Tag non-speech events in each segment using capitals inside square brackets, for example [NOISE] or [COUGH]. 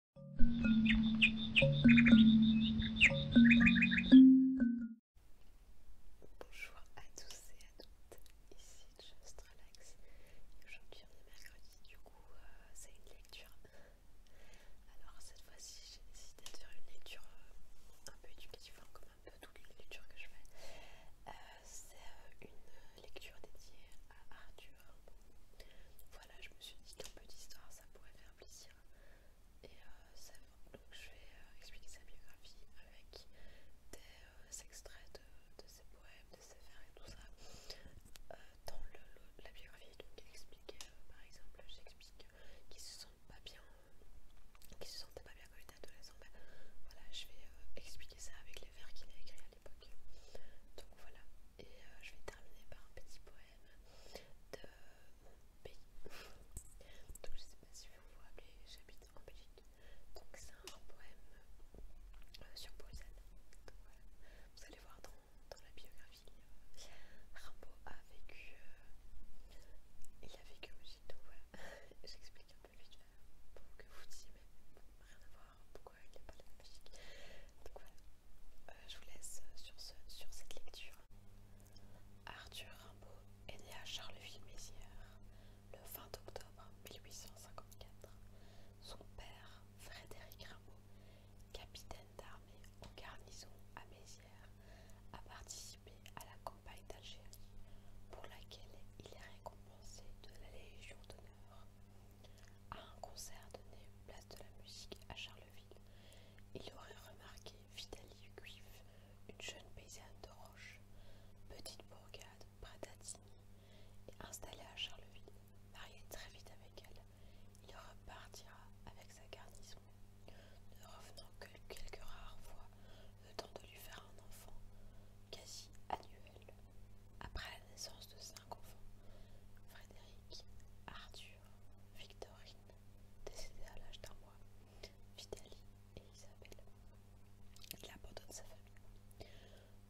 Bonjour à tous et à toutes, ici Just Relax. Aujourd'hui on est mercredi, du coup euh, c'est une lecture. Alors cette fois-ci j'ai décidé de faire une lecture euh, un peu éducative, hein, comme un peu toutes les lectures que je fais. Euh, c'est une lecture dédiée à Arthur. voilà, je me suis dit qu'un peu d'histoire ça pourrait faire plaisir. Et euh, donc je vais euh, expliquer sa biographie avec des euh, extraits de, ses poèmes, de ses vers et tout ça. dans la biographie, donc il par exemple, j'explique qu'il se sent pas bien, qu'il se sentait pas bien quand il était adolescent. Ben, voilà, je vais expliquer ça avec les vers qu'il a écrits à l'époque. Donc voilà, et je vais terminer par un petit poème de mon pays. Donc je sais pas si vous vous rappelez, j'habite en Belgique. Donc c'est un poème euh, sur Bruxelles. vous allez voir dans, dans la biographie, euh, Rimbaud a vécu, euh, il a vécu aussi. Donc voilà, [LAUGHS] j'explique un peu vite pour que vous disiez, mais bon, rien à voir, euh, je vous laisse euh, sur cette lecture. Arthur Rimbaud est né à Charleville-Mézières le 20 octobre 1854. Son père, Frédéric Rimbaud, capitaine d'armée en garnison à Mézières, a participé à la campagne d'Algérie pour laquelle il est récompensé de la Légion d'honneur. À un concert donné place de la musique à Charleville, il aurait remarqué Vitalie Guif, une jeune paysanne de Roche, petite bourgade près d'Attigny, et installée à Charleville, mariée très vite avec elle, il repartira avec sa garnison, ne revenant que quelques rares fois le temps de lui faire un enfant quasi annuel. Après la naissance de cinq enfants, Frédéric, Arthur, Victorine, décédée à l'âge d'un mois, Vitaly et Isabelle. Il abandonne sa famille.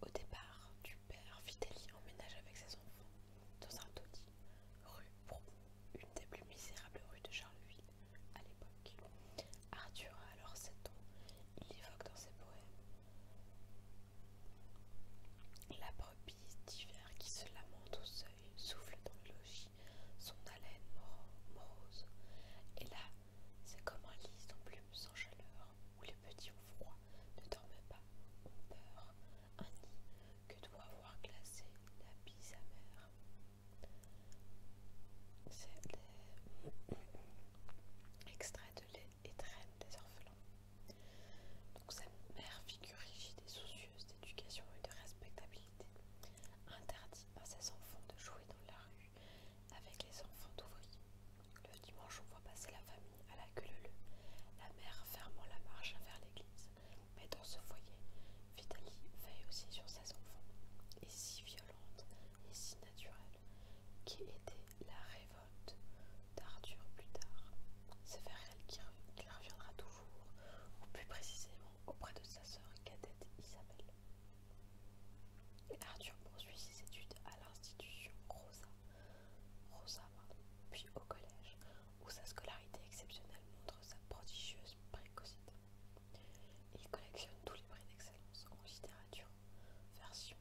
Au départ du père, Vitaly emménage avec ses enfants dans un taudis, rue pour une des plus misérables rues de Charleville à l'époque. Arthur a alors sept ans. Il évoque dans ses poèmes bise d'hiver qui se lamentent au seuil souffle dans le logis son haleine morose. Et là, c'est comme un lit en plumes, sans chaleur, où les petits ou froid, ne dorment pas, ont peur, un nid que doit avoir glacé la bise amère. C'est des [CLEARS THROAT] extraits de lait et traîne des orphelins. Donc sa mère, figure rigide et soucieuse d'éducation et de respectabilité, interdit à ses enfants de jouer dans la rue avec les enfants d'ouvriers. Le dimanche, on voit passer la famille à la gueule la mère fermant la marche vers l'église. Mais dans ce foyer, Vitalie veille aussi sur ses enfants, et si violente et si naturelle, qui était la révolte d'Arthur plus tard. C'est vers elle qu'il reviendra toujours, ou plus précisément auprès de sa sœur cadette Isabelle. Arthur poursuit ses études à l'institution Rosa, puis au collège, où sa scolarité exceptionnelle montre sa prodigieuse précocité. Il collectionne tous les prix d'excellence en littérature, version,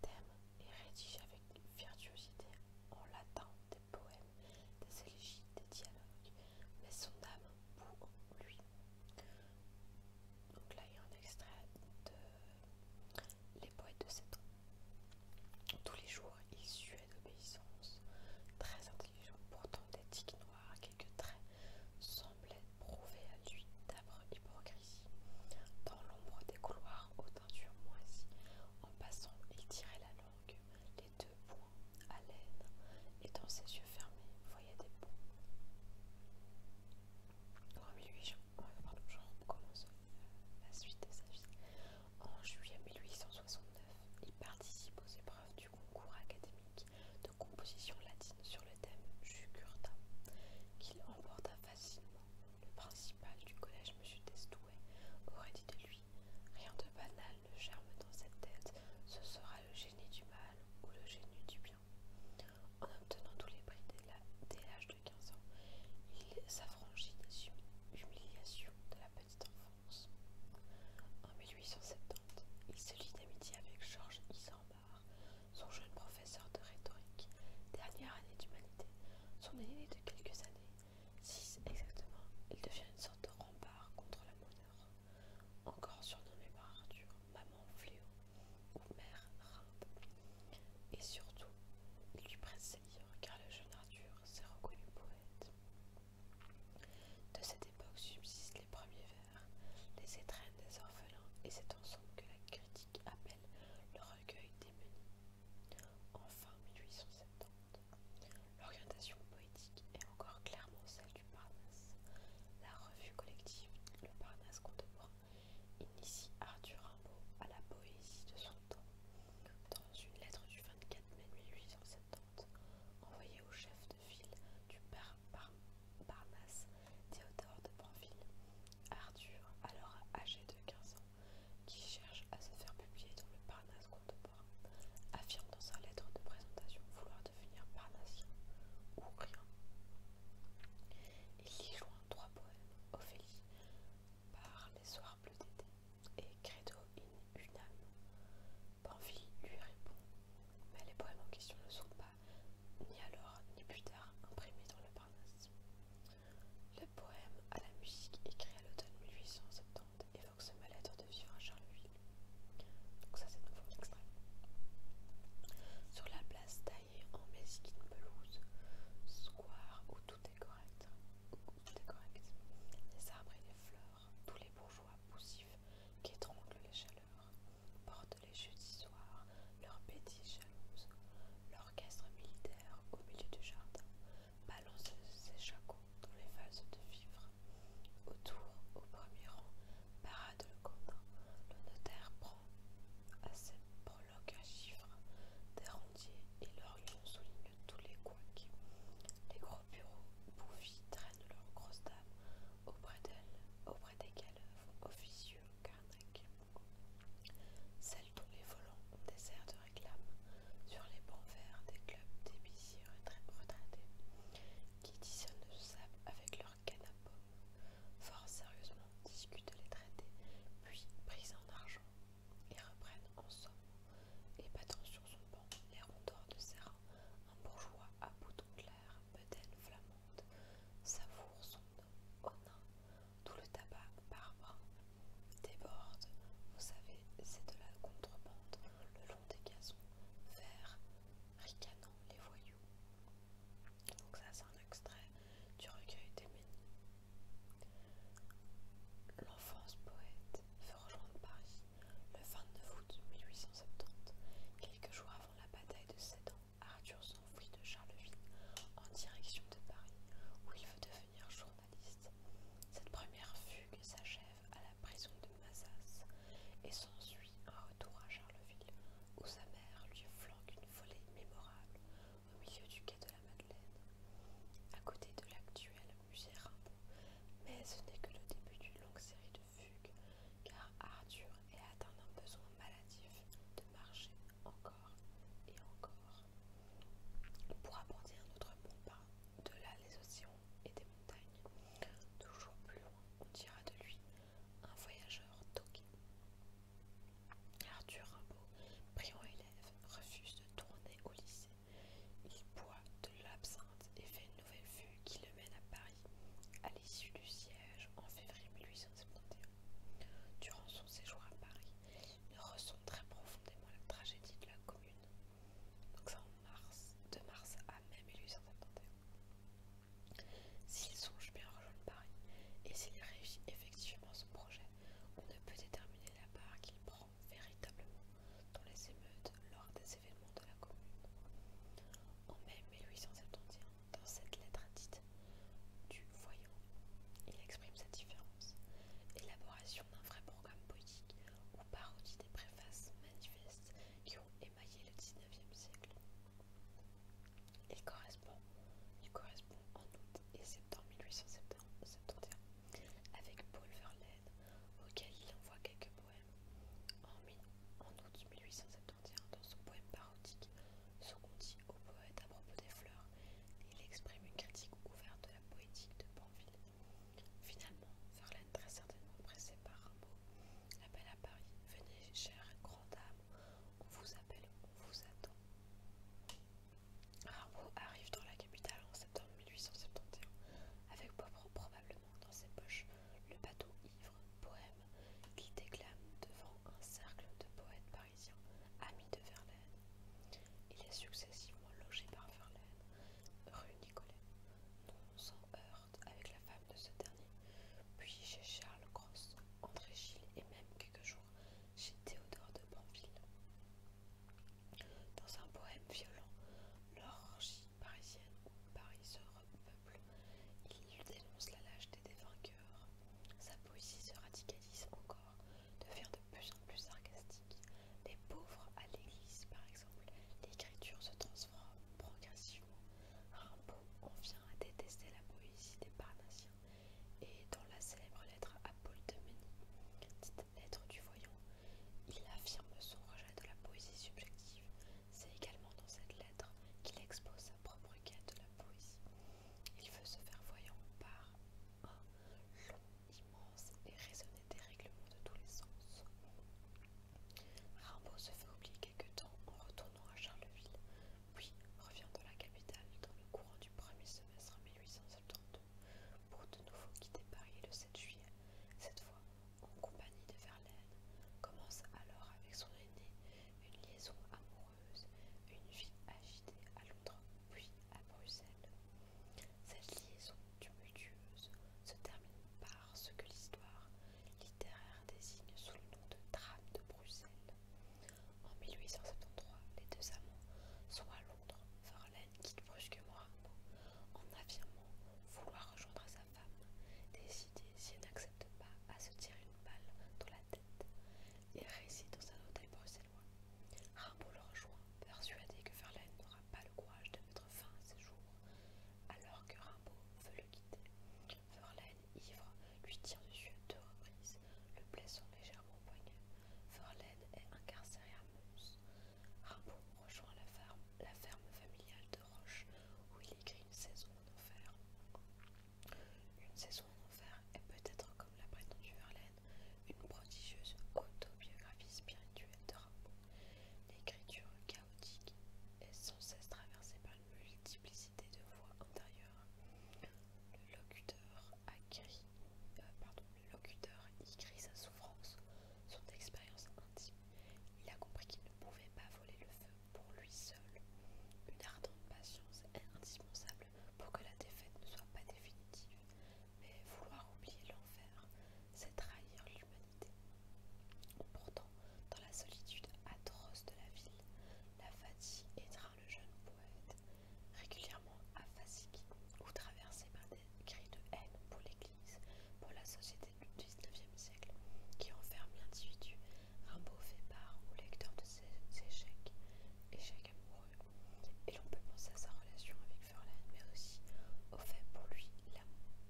thème et rédige avec virtuosité en latin des poèmes des élégies, des dialogues, mais son âme pour lui. Donc là, il y a un extrait de Les poètes de Satan. Tous les jours, il suait d'obéissance, très intelligent, pourtant des noire noires quelques traits, semblaient prouver à lui d'âpre hypocrisie. Dans l'ombre des couloirs aux teintures moisies, en passant, il tirait la langue les deux points. à l'aine et dans ses yeux fermés, voyait des points. Euh, en juillet 1869, il participe aux épreuves du concours académique de composition latine sur le thème Jugurtha, qu'il emporta facilement. Le principal du collège, M. Destouet, aurait dit de lui Rien de banal ne germe dans cette tête, ce sera le génie du mal ou le génie du bien. En obtenant tous les prix dès l'âge de quinze ans, il s'affranchit des hum, humiliations de la petite enfance. En 1870, il se lie d'amitié avec Georges Isambard, son jeune professeur de rhétorique, dernière année d'humanité, son aîné de quelques années, Six exactement, il devient une sorte de rempart contre la moneur, encore surnommé par Arthur Maman Fléau ou Mère Rinde. Et surtout, il lui presse car le jeune Arthur s'est reconnu poète. De cette époque subsistent les premiers vers, les étrennes des orphelins et cet ensemble que la critique appelle le recueil des menus fin 1870, l'orientation poétique est encore clairement celle du Parnasse. La revue collective Le Parnasse contemporain initie Arthur Rimbaud à la poésie de son temps. Dans une lettre du 24 mai 1870, envoyée au chef de file du père Parnasse, Théodore de Banville, Arthur, alors âgé de 15 ans, qui cherche à se faire publier dans le Parnasse contemporain, affirme dans sa lettre de présentation vouloir devenir parnassien ou rien. Il y joint trois poèmes, Ophélie, par les soirs bleus d'été, et Credo in une âme. lui répond, mais les poèmes en question ne sont pas, ni alors ni plus tard, imprimés dans le Parnasse. Le poème à la musique écrit à l'automne 1870 ce de vivre à Charleville. Donc ça c'est nouveau Sur la place taillée en mesquine pelouse, square où tout est correct, où tout est correct, les arbres et les fleurs, tous les bourgeois poussifs qui étranglent les chaleurs, portent les jeudis soirs leurs bêtises jalouses, l'orchestre militaire au milieu du jardin Balance ses chacons dans les vases de vivre. Autour, au premier rang, parade le comte. le notaire prend à ses prologues un chiffre des et leur soulignent souligne tous les couacs. Les gros bureaux bouffis traînent leurs grosses dames auprès d'elles, auprès desquelles officieux Carnac. Celles dont les volants desserrent sur les bancs verts des clubs très retraités qui dissonnent le sable avec leurs canapés, Fort sérieusement discutent les traités, puis pris en argent et reprennent en somme et battant sur son banc les rondeurs de Serra, un bourgeois à boutons clairs, bedel flamande, savoure son nom au tout le tabac barbre déborde, vous savez, c'est de la contrebande le long des gazons, vers ricanant les voyous. Donc ça c'est un extrait du recueil des Ménis. L'enfance poète veut rejoindre Paris le 29 août 1870. Quelques jours avant la bataille de Sedan, Arthur s'enfuit de Charleville en direction de Paris, où il veut devenir journaliste. Cette première fugue s'achève à la prison de Mazas et s'ensuit un retour à Charleville où sa mère lui flanque une volée mémorable au milieu du quai de la Madeleine, à côté de l'actuel musée Rimbaud. Mais ce n'est que le début d'une longue série de fugues car Arthur est atteint d'un besoin maladif de marcher encore et encore. Pour aborder un autre bon de là les océans et des montagnes. Toujours plus loin, on dira de lui un voyageur toqué. Arthur Rimbaud, brillant élève, refuse de tourner au lycée. Il boit de l'absinthe et fait une nouvelle vue qui le mène à Paris, à l'issue du siège en février 1871. Durant son séjour à Paris, il ressent très profondément la tragédie de la Commune. Donc ça en mars, de mars à mai 1871. S'il songe bien rejoindre Paris, et s'il réussit effectivement son projet, on ne peut déterminer la part qu'il prend véritablement dans les émeutes lors des événements de la Commune. En mai 1871, dans cette lettre dite du voyant, il exprime sa différence. Élaboration un vrai programme poétique ou parodie des préfaces manifestes qui ont émaillé le 19e siècle. Il correspond, en août et septembre 1871 avec Paul Verlaine, auquel il envoie quelques poèmes. En, août 1871, dans son poème parodique, dit au poète à propos des fleurs, il exprime une critique ouverte de la poétique de Banville Finalement, Verlaine, très certainement pressé par Rimbaud, l'appelle à Paris Venez, chère grande âme, on vous appelle, on vous attend. Rimbaud arrive dans la capitale en septembre 1871, avec probablement dans ses poches le bateau ivre, poème, qu'il déclame devant un cercle de poètes parisiens, amis de Verlaine. Il est successivement logé par Verlaine, rue Nicolet, non sans heurte avec la femme de ce dernier, puis chez Charles Cross, André Gilles et même quelques jours chez Théodore de Banville. Dans un poème violent, l'orgie parisienne où Paris se il dénonce la lâcheté des vainqueurs. Sa poésie se radicalise encore, de faire de plus plus sarcastique. Les pauvres à l'église, par exemple, l'écriture se transforme progressivement. Rimbaud en vient à détester la poésie des Parnassiens et dans la célèbre lettre à Paul de Mény, dite lettre du voyant, il affirme son rejet de la poésie subjective. C'est également dans cette lettre qu'il expose sa propre quête de la poésie. Il veut se faire voyant par un immense et raisonnée des règlements de tous les sens. Rimbaud se fait oublier quelque temps en retournant à Charleville, puis revient dans la capitale dans le courant du premier semestre 1872 pour de nouveau quitter Paris le 7 juillet, cette fois en compagnie de Verlaine, commence alors avec son aîné une liaison amoureuse, une vie agitée à Londres, puis à Bruxelles. Cette liaison tumultueuse se termine par ce que l'histoire littéraire désigne sous le nom de drame de Bruxelles. En 1873, les deux amants sont à Londres. Verlaine quitte brusquement Rimbaud en affirmant vouloir rejoindre sa femme, décider, si elle n'accepte pas, à se tirer une balle dans la tête et réside dans un hôtel bruxellois. Rimbaud le rejoint, persuadé que Verlaine n'aura pas le courage de mettre fin à ses jours, alors que Rimbaud veut le quitter. Verlaine, ivre, lui tire dessus à deux reprises, le blessant légèrement au poignet. Verlaine est incarcéré à Mons. Rimbaud rejoint la ferme, la ferme familiale de Roche, où il écrit une saison en enfer. Une saison en enfer est peut-être, comme l'a prétendu Verlaine, une prodigieuse autobiographie spirituelle de Rimbaud. L'écriture chaotique est sans cesse traversée par une multiplicité de voix intérieures. Le locuteur, y crie euh, sa souffrance, son expérience intime. Il a compris qu'il ne pouvait pas voler le feu pour lui seul. Une ardente patience est indispensable pour que la défaite ne soit pas définitive. Mais vouloir oublier l'enfer, c'est trahir l'humanité. Pourtant, dans la solitude atroce de la ville, la fatigue étreint le jeune poète, régulièrement affasigué ou traversé par des cris de haine pour l'Église, pour la société du XIXe siècle, qui enferme l'individu. Rimbaud fait part au lecteur de ses échecs, échecs amoureux, et l'on peut penser à sa relation avec mais aussi euh, au fait, pour lui,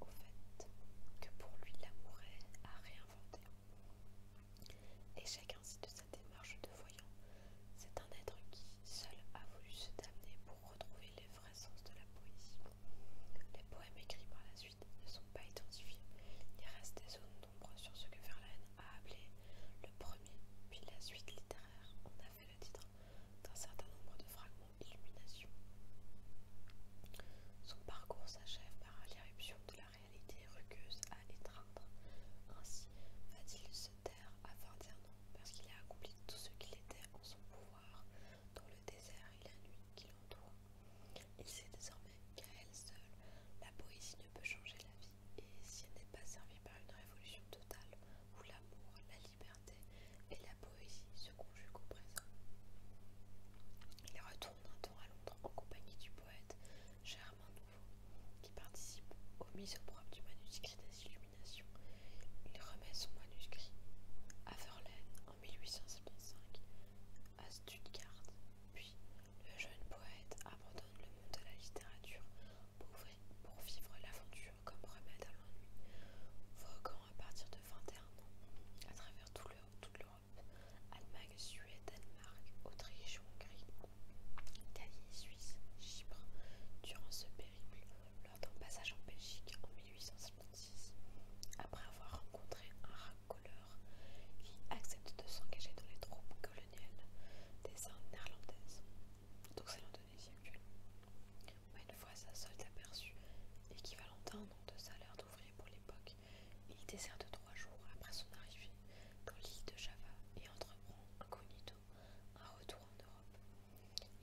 au fait que pour lui l'amour est à réinventer. Et chacun ainsi de sa démarche de voyant, c'est un être qui seul a voulu se damner pour retrouver les vrais sens de la poésie. Les poèmes écrits par la suite ne sont pas identifiés, il reste des zones d'ombre sur ce que Verlaine a appelé le premier, puis la suite littéraire le titre d'un certain nombre de fragments d'illumination. Son parcours s'achève par l'irruption de la réalité rugueuse à étreindre. Ainsi va-t-il se taire à 21 ans parce qu'il a accompli tout ce qu'il était en son pouvoir dans le désert et la nuit qui l'entoure. Il sait désormais qu'à elle seule, la poésie ne peut changer la vie et si elle n'est pas servie par une révolution totale où l'amour, la liberté et la poésie se conjuguent au présent. Il retourne un temps à Londres en compagnie du poète Germain Nouveau, qui participe aux mises au propre du manuscrit des Illuminations. Il remet son manuscrit à Verlaine en 1875, à Stuttgart, puis le jeune poète abandonne le monde de la littérature pour vivre l'aventure comme remède à l'ennui, voguant à partir de 21 ans à travers toute l'Europe, Allemagne, Suède, Danemark, Autriche, Hongrie, Italie, Suisse, Chypre. Durant ce périple, lors d'un passage en Belgique en 1856, après avoir rencontré un racoleur qui accepte de s'engager dans les troupes coloniales des Indes néerlandaises, donc c'est l'Indonésie actuelle. Une fois sa solde aperçue, à un an de salaire d'ouvrier pour l'époque, il déserte trois jours après son arrivée dans l'île de Java et entreprend incognito un retour en Europe.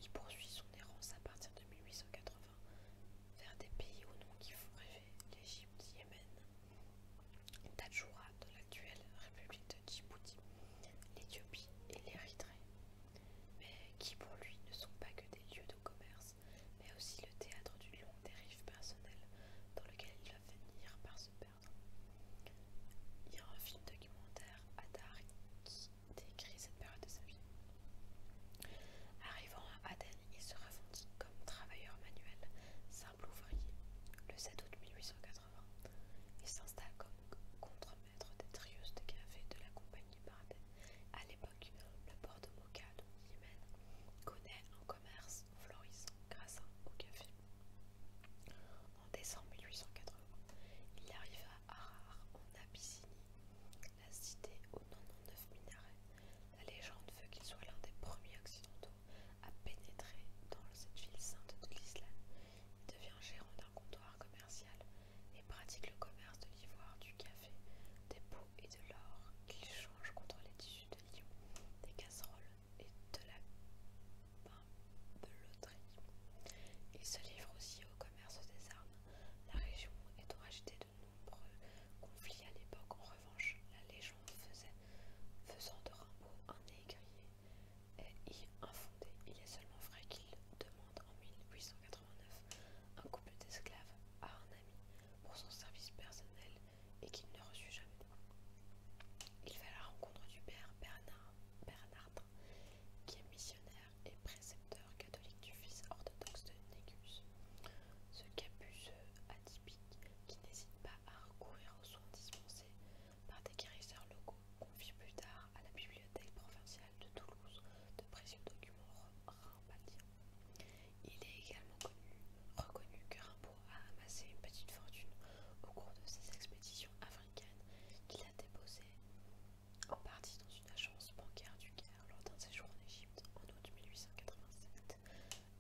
Il poursuit son errance à partir de 1880 vers des pays au nom qui font rêver l'Égypte, Yémen, Tadjoura de l'actuelle République de Djibouti, l'Éthiopie et l'Érythrée mais qui pour lui ne sont pas que des lieux de commerce, mais aussi le théâtre du long dérive personnel, dans lequel il va finir par se perdre. Il y a un film documentaire, Adar, qui décrit cette période de sa vie. Arrivant à Aden, il se revendique comme travailleur manuel, simple ouvrier. Le 7 août 1880, il s'installe comme contremaître des trieuses de café de la compagnie à l'époque, le port de Moka, donc connaît un commerce florissant grâce au café. En décembre 1880, il arrive à Harar, en Abyssinie, la cité aux 99 minarets. La légende veut qu'il soit l'un des premiers occidentaux à pénétrer dans cette ville sainte de l'islam. Il devient gérant comptoir commercial et pratique le commerce de l'ivoire, du café, des pots et de l'or qu'il change contre les tissus de lion, des casseroles et de la pimpeloterie. Il se livre aussi au commerce des armes. La région est agitée de nombreux conflits à l'époque, en revanche, la légende faisait, faisant de Rimbaud un y est infondée. Il est seulement vrai qu'il en 1889 un couple d'esclaves a un ami pour son service personnel et qu'il ne reçut jamais. Il fait la rencontre du père Bernard, qui est missionnaire et précepteur catholique du fils orthodoxe de Negus. Ce capuceux atypique, qui n'hésite pas à recourir aux soins dispensés par des guérisseurs locaux, confie plus tard à la bibliothèque provinciale de Toulouse de précieux documents il est également reconnu que Rimbaud a amassé une petite fortune au cours de ses expéditions africaines qu'il a déposées en partie dans une agence bancaire du Caire lors d'un séjour en Égypte en août 1887.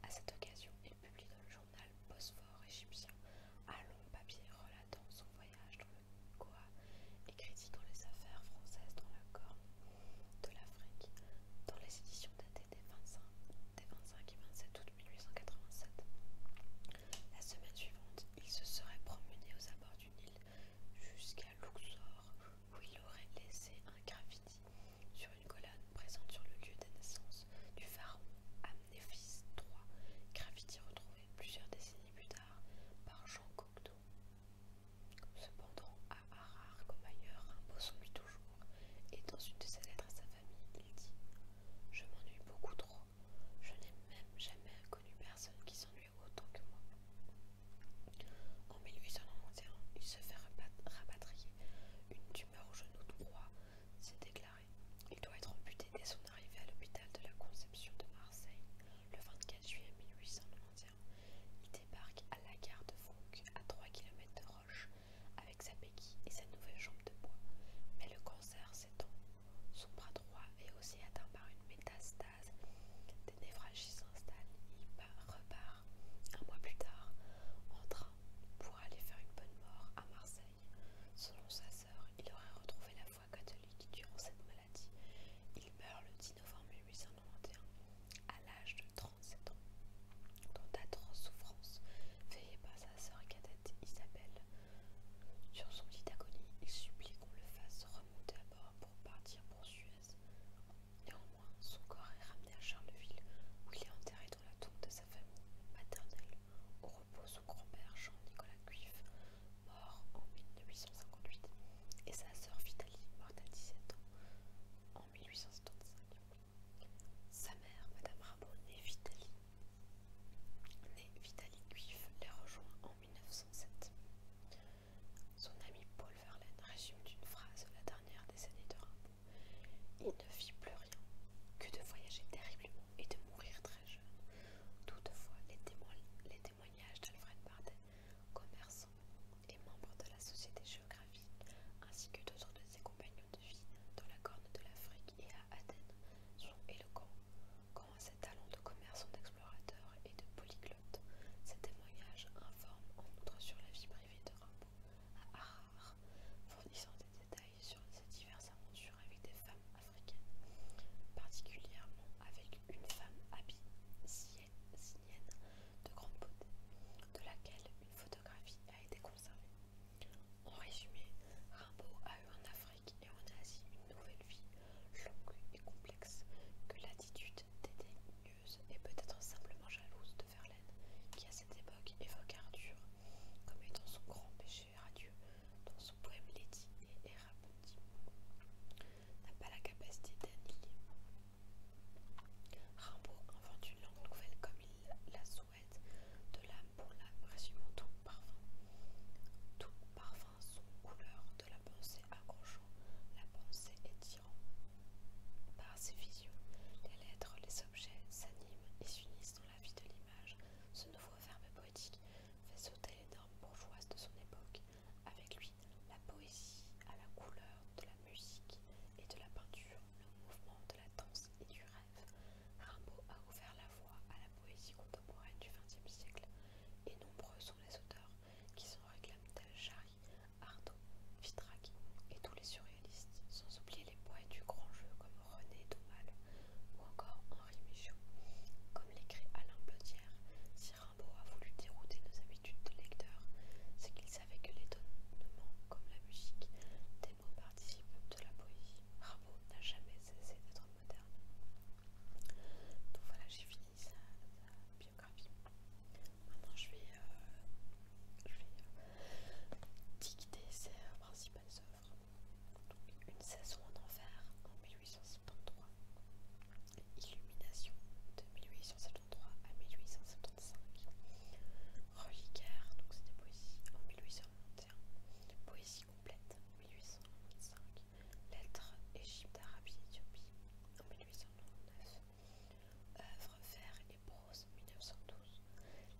À cette occasion, il publie dans le journal Bosphore égyptien un long papier relatant son voyage dans Goa écrit dans les affaires françaises dans la corne de l'Afrique, dans les éditions datées des 25, et 27 août 1887. La semaine suivante, il se serait promené aux abords du Nil jusqu'à Luxor, où il aurait laissé un graffiti sur une colonne présente sur le lieu des naissance du pharaon Amnéphis III, graffiti retrouvé plusieurs décennies plus tard par Jean Cocteau Cependant, à Harare comme ailleurs, Rimbaud lui toujours, et dans une de ses lettres à sa famille, il dit Je m'ennuie beaucoup trop, je n'ai même jamais connu personne qui s'ennuie autant que moi. En 1891, il se fait rapatrier. Une tumeur au genou droit s'est déclarée. Il doit être amputé dès son arrivée à l'hôpital de la Conception de Marseille le 24 juillet 1891 il débarque à la gare de Franck, à 3 km de Roche, avec sa béquille et sa nouvelle jambe de bois. Mais le cancer s'étend. Son bras droit est aussi atteint par une métastase. Des névrages s'installent. Il repart un mois plus tard en train pour aller faire une bonne mort à Marseille. Selon sa sœur, il aurait retrouvé la foi catholique durant cette maladie. Il meurt le 10 novembre 1891 à l'âge de 37 ans dans d'atroces souffrances veillé par sa sœur cadette Isabelle. Sur son lit d'agonie, il supplie qu'on le fasse remonter à bord pour partir pour Suez. Néanmoins, son corps est ramené à Charleville où il est enterré dans la tombe de sa famille maternelle, au repose son grand-père Jean-Nicolas Cuif, en 1858 et sa sœur Vitalie, morte à 17 ans, en 1875. Sa mère, Madame Rabeau, née Vitalie, née Vitalie les rejoint en 1907. Son ami Paul Verlaine résume d'une phrase la dernière décennie de Rimbaud Il ne fit plus rien que de voyager terriblement et de mourir très jeune. Toutefois, les témoins, les les témoignage d'Alfred Bardet, commerçant et membre de la Société géographique, ainsi que d'autres de ses compagnons de vie dans la Corne de l'Afrique et à Athènes, sont éloquents. Quant à ses talents de commerçant d'explorateur et de polyglotte, ces témoignages informent en outre sur la vie privée de Rimbaud à Harare, fournissant des détails sur ses diverses aventures avec des femmes africaines, particulièrement avec une femme habillée de grande beauté, de laquelle une photographie a été conservée. En résumé, Rimbaud a eu en Afrique et en Asie une nouvelle vie, longue et complexe, que l'attitude dédaigneuse et peut-être simplement jalouse de Verlaine, qui à cette époque évoque Arthur comme étant son grand péché radieux, dans son poème Lady et est n'a pas la capacité d'annihiler. Rimbaud invente une langue nouvelle comme il la souhaite, de l'âme pour l'âme, résumant tout parfum. Tout parfum son couleur de la pensée accrochant, la pensée étirant. Par ses visions, les lettres, les objets s'animent et s'unissent dans la vie de l'image. Ce nouveau verbe poétique fait sauter les normes bourgeoises de son époque, avec lui la poésie à la couleur de la musique et de la peinture, le mouvement de la danse et du rêve, Rimbaud a ouvert la voie à la poésie contemporaine du XXe siècle, et nombreux sont les auteurs qui s'en réclament tels Jarry, Arnaud, Vitrac et tous les surréalistes, sans oublier les poètes du grand jeu comme René Daumal ou encore Henri Michaud. Comme l'écrit Alain Rimbaud a voulu dérouter nos habitudes de lecteur, c'est qu'il savait que l'étonnement, comme la musique, des mots participent de la poésie. Rimbaud n'a jamais cessé d'être moderne. Donc voilà, j'ai fini sa, biographie. Maintenant, je vais, euh, euh, dicter ses principales œuvres. une saison en enfer en 1873. Illumination de 1873 à 1875. reliquaire, donc c'était poésie en 1821. Poésie complète en 1825. Lettres Égypte, Arabie, Éthiopie en 1899. œuvre vers et prose 1912.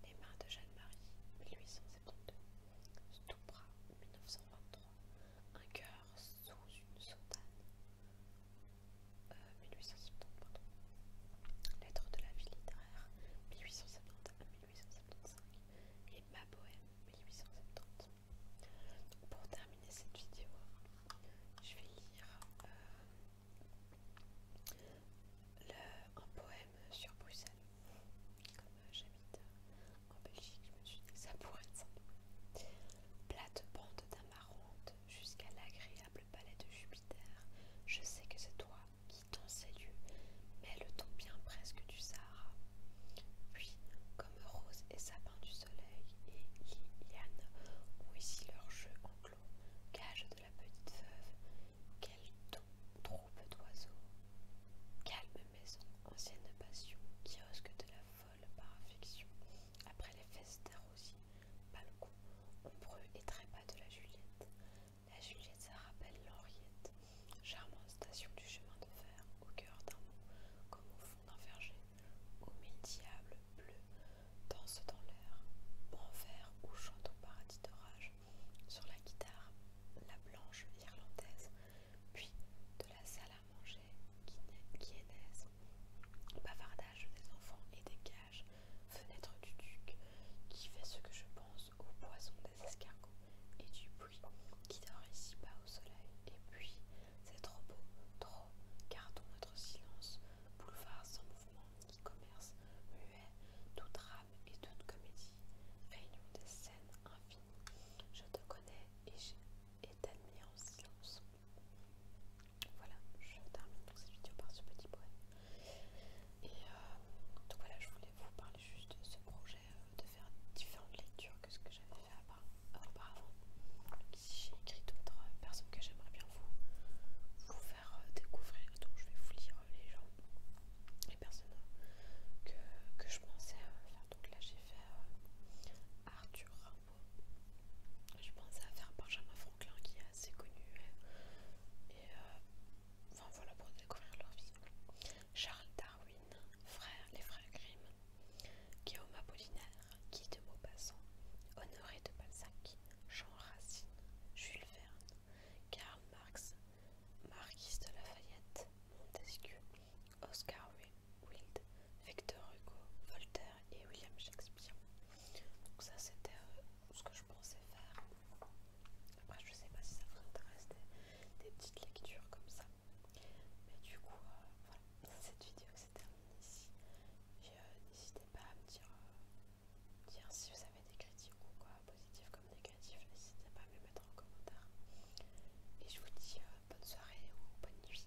Les mains de Jeanne-Marie 1872. Stupra 1923. Un cœur sous une sautane euh, Lettre 1870, de la vie littéraire, 1870 1875, et Ma poème, 1870. pour terminer cette vidéo, je vais lire euh, un poème sur Bruxelles. Comme euh, j'habite en Belgique, je me suis dit ça pourrait être ça. Plate bande d'amarante, jusqu'à l'agréable palais de Jupiter, je sais que c'est toi qui, t'en ces mais le ton bien presque du Sahara. Puis, comme rose et sapin du soleil et Liliane ont ici leur jeu enclos, cage de la petite veuve, trop troupe d'oiseaux Calme maison, ancienne passion, kiosque de la folle par affection. Après les fesses d'Arrosi, balcon, ombreux et trépas de la Juliette. La Juliette, ça rappelle l'Henriette, charmante station du chemin de fer, au cœur d'un mot, comme au fond d'un verger, où mille diables bleus dansent dans l'air, vert ou chantent au paradis d'orage, sur la guitare, la blanche irlandaise, puis de la salade manger bavardage des enfants et des cages, fenêtre du duc, qui fait ce que je pense au poisson des escargots et du bruit qui dort ici bas au soleil. Et puis, c'est trop beau, trop, gardons notre silence, boulevard sans mouvement, qui commerce, muet, tout drame et toute comédie, réunion des scènes infinies. Je te connais et t'admire en silence. Voilà, je termine pour cette vidéo par ce petit poème. Et euh, donc voilà, je voulais vous parler juste de ce projet, euh, de faire différentes lectures que ce que j'avais fait auparavant. Si j'ai écrit d'autres euh, personnes que j'aimerais bien vous, faire découvrir, donc je vais vous lire les gens, les personnes que, je pensais faire. Donc là j'ai fait Arthur je pense à faire Benjamin Franklin qui est assez connu. Euh, et euh, enfin voilà pour découvrir leur vie. Charles Darwin, frère, les frères Grimm, Guillaume Apollinaire, Guy de Maupassant, Honoré de Balzac, Jean Racine, Jules Verne, Karl Marx, Marquis de Lafayette, Montesquieu, Oscar Wilde, Victor Hugo, Voltaire et William Shakespeare. Donc ça c'était euh, ce que je pensais faire. Après je sais pas si ça vous intéresse des, petites lectures comme ça. Mais du coup, euh, voilà, cette vidéo se termine ici. Euh, n'hésitez pas à me dire, dire si vous avez des critiques ou quoi, positifs comme négatifs, n'hésitez pas à me mettre en commentaire. Et je vous dis bonne soirée ou bonne nuit.